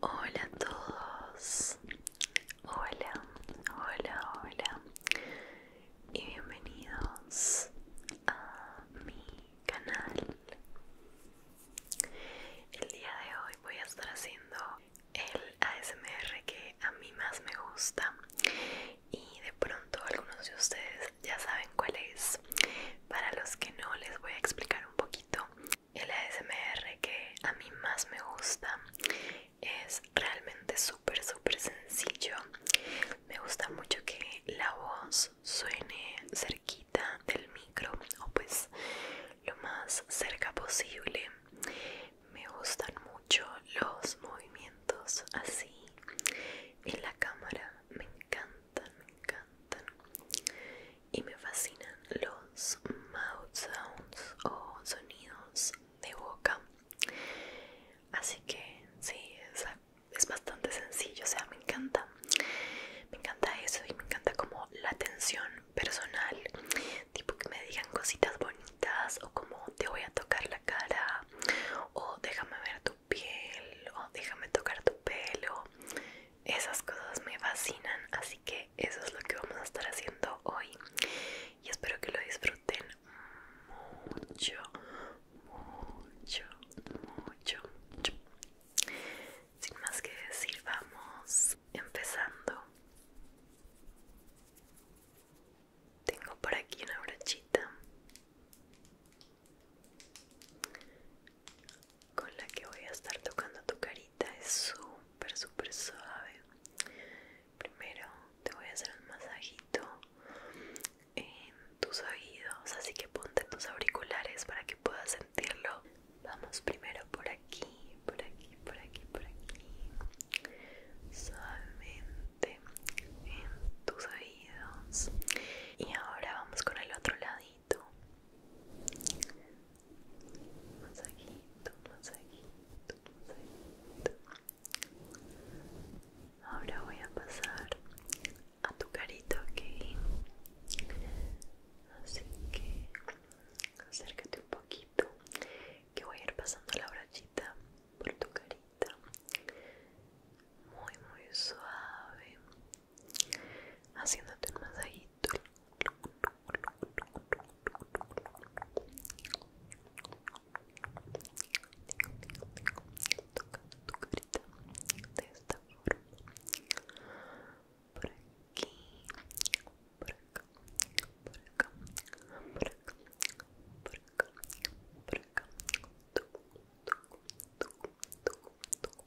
Hola a todos, hola, hola, hola y bienvenidos a mi canal. El día de hoy voy a estar haciendo el ASMR que a mí más me gusta y de pronto algunos de ustedes ya saben cuál es. Para los que no les voy a explicar un poquito el ASMR que a mí más me gusta es realmente súper súper sencillo me gusta mucho que la voz suene cerquita del micro o pues lo más cerca posible me gustan mucho los movimientos así en la cámara me encanta me encantan. Y me fascinan los mouth sounds o sonidos de boca. Así que sí, es, es bastante sencillo, o sea, me encanta. Me encanta eso y me encanta como la atención personal. Tipo que me digan cositas bonitas o como te voy a tocar la cara o déjame ver tu piel o déjame tocar tu pelo esas cosas me fascinan así que eso es lo que vamos a estar haciendo hoy y espero que lo disfruten mucho mucho mucho, mucho. sin más que decir vamos empezando tengo por aquí una brochita con la que voy a estar tocando tu carita es súper súper suave primero te voy a hacer un masajito en tus oídos así que ponte tus auriculares para que puedas sentirlo vamos primero por aquí por aquí por aquí por aquí suavemente en tus oídos y ahora vamos con el otro lado masajito masajito masajito masajito ahora voy a pasar a tu carita ok así que acércate un poquito que voy a ir pasando la brochita por tu carita muy muy suave haciéndote un masajito tocando tu por aquí por acá por acá por acá por acá por acá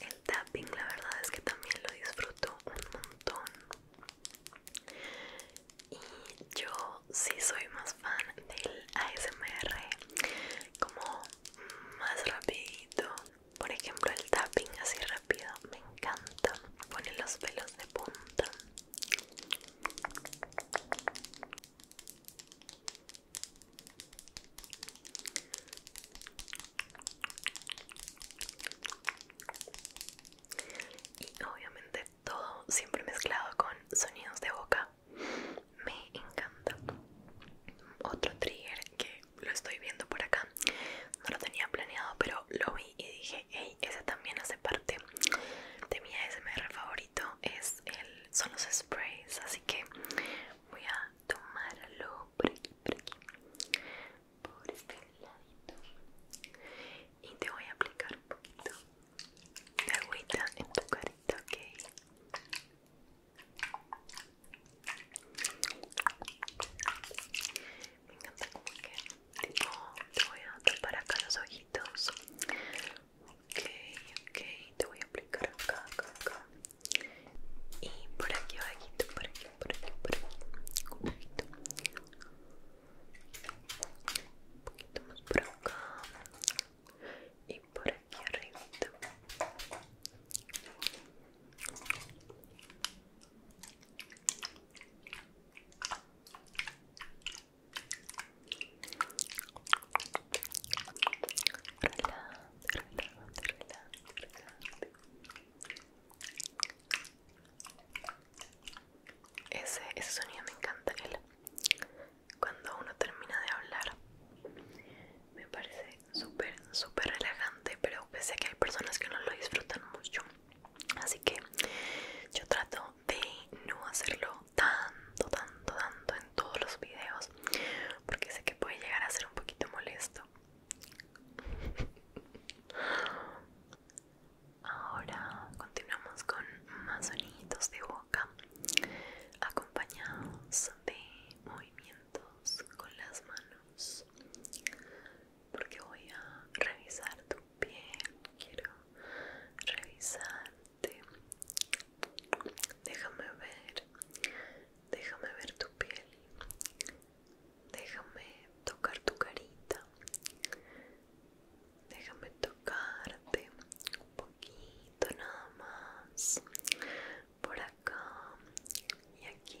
El tapping la verdad es que también lo disfruto un montón. Y yo sí soy más fan del ASMR como más rapidito. Por ejemplo el tapping así rápido me encanta. Pone los pelos de punta. Y obviamente todo siempre mezclado con sonidos de boca. Me encanta. Otro trigger que lo estoy viendo por acá. No lo tenía planeado, pero lo vi y dije, Ey, ese también hace parte de mi ASMR favorito es el, son los sprays, así que voy a tomarlo por por aquí, por este lado y te voy a aplicar un poquito de agüita en tu carita, ok. Me encanta como que te voy a tapar acá los ojitos. Ok, ok, te voy a aplicar acá, acá, acá. Y por aquí abajito, por aquí, por aquí, por aquí. Un poquito. Un poquito más por acá. Y por aquí arribito. Ese, ese sonido me encanta. él cuando uno termina de hablar, me parece súper, súper relajante. Pero pese a que hay personas que no lo disfrutan mucho, así que yo trato de no hacerlo tanto, tanto, tanto en todos los videos porque sé que puede llegar a ser un poquito molesto. Ahora continuamos con más sonidos de boca acompañados de movimientos con las manos porque voy a revisar bien, quiero revisarte. Déjame ver, déjame ver tu piel, déjame tocar tu carita, déjame tocarte un poquito nada más por acá y aquí.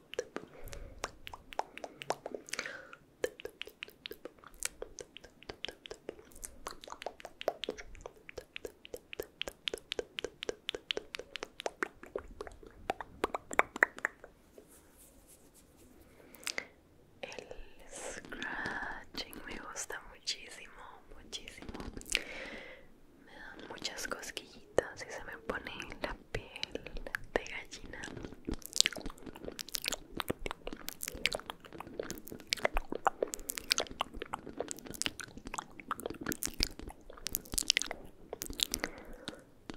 El scratching me gusta muchísimo, muchísimo. Me dan muchas cosquillas entonces se me pone la piel de gallina.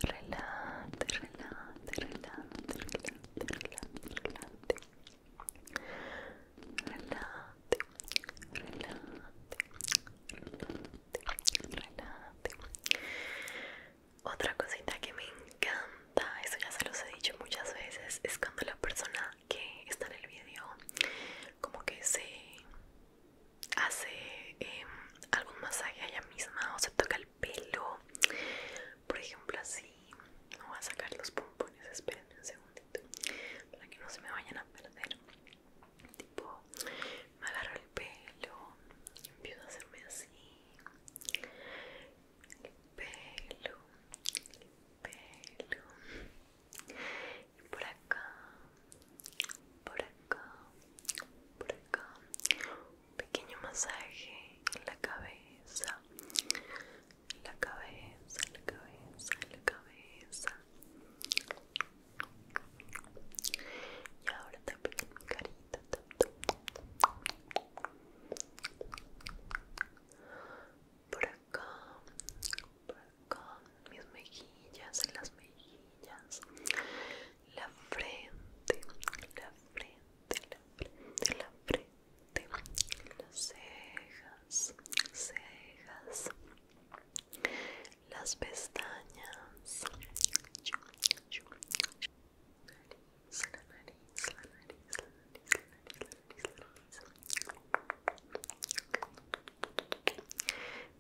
Relate, relate, relate, relate, relate, relate. Relate, relate, relate, relate. Otra cosita que me encanta, eso ya se los he dicho muchas veces, es cuando la persona que está en el video como que se hace em, algún masaje a ella misma o se toca el pelo, por ejemplo así, no voy a sacar los pompones, espérenme un segundito para que no se me vayan a perder, tipo me agarro el pelo, y empiezo a hacerme así, el pelo, el pelo, y por acá, por acá, por acá, un pequeño masaje en la cabeza, la cabeza, la cabeza, la cabeza. Y ahora también en mi carita. Por acá, por acá, mis mejillas, las mejillas, la frente, la frente, la frente, la frente, las cejas, cejas, las pestañas la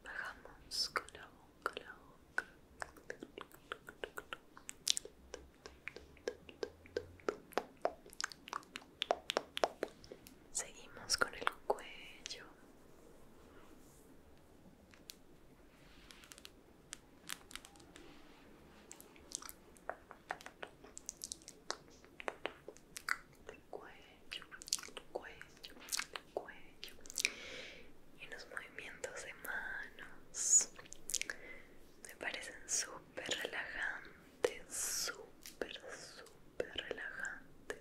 Bajamos con la boca. Seguimos con el cuello el cuello, el cuello, el cuello y los movimientos de manos me parecen súper relajantes, súper, súper relajantes.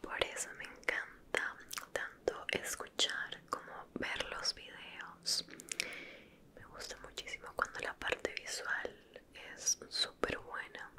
por eso me encanta tanto escuchar como ver los videos. Me gusta muchísimo cuando la parte visual es súper buena.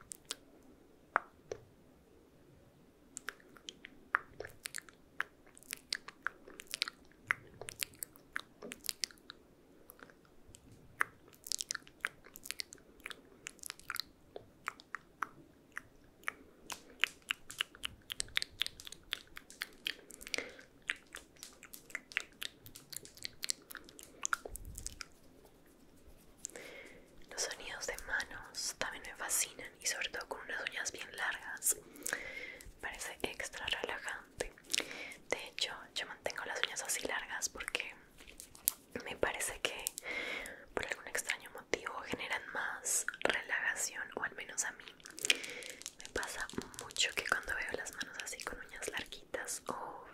Los sonidos de manos también me fascinan y sobre todo con unas uñas bien largas. Parece extra relajante. De hecho, yo mantengo las uñas así largas porque me parece que por algún extraño motivo generan más relajación o al menos a mí me pasa mucho que cuando veo las manos así con uñas larguitas o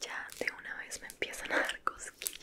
ya de una vez me empiezan a dar cosquillas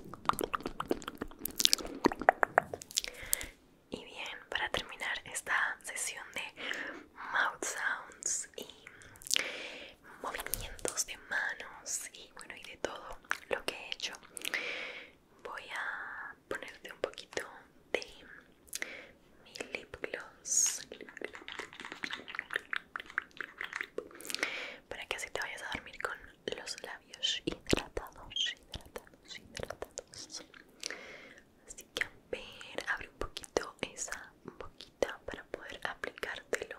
Y bien, para terminar esta sesión de mouth sounds y movimientos de manos y bueno, y de todo lo que he hecho, voy a ponerte un poquito de mi lip gloss para que así te vayas a dormir con los labios hidratados, hidratados, hidratados. Así que a ver, abre un poquito esa boquita para poder aplicártelo.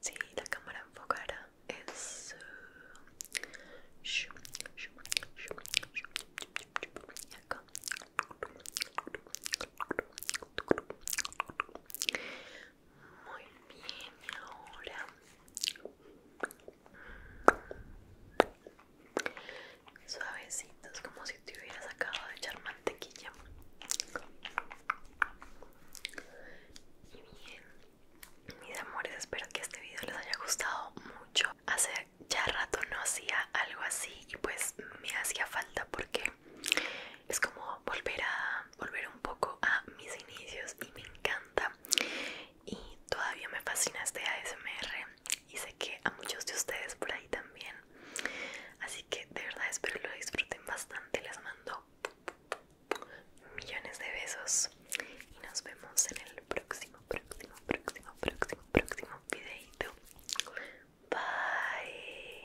Sí, la cámara enfocada eso. Muy bien, ahora suavecitos como si te hubieras acabado de echar mantequilla. Y bien, mis amores, espero que este video les haya gustado mucho. Hace ya rato no hacía algo así y pues me hacía falta porque es como volver a volver un poco a mis inicios y me encanta y todavía me fascina este ASMR y sé que a muchos de ustedes por ahí también así que de verdad espero lo disfruten bastante les mando millones de besos y nos vemos en el próximo próximo próximo próximo próximo videito bye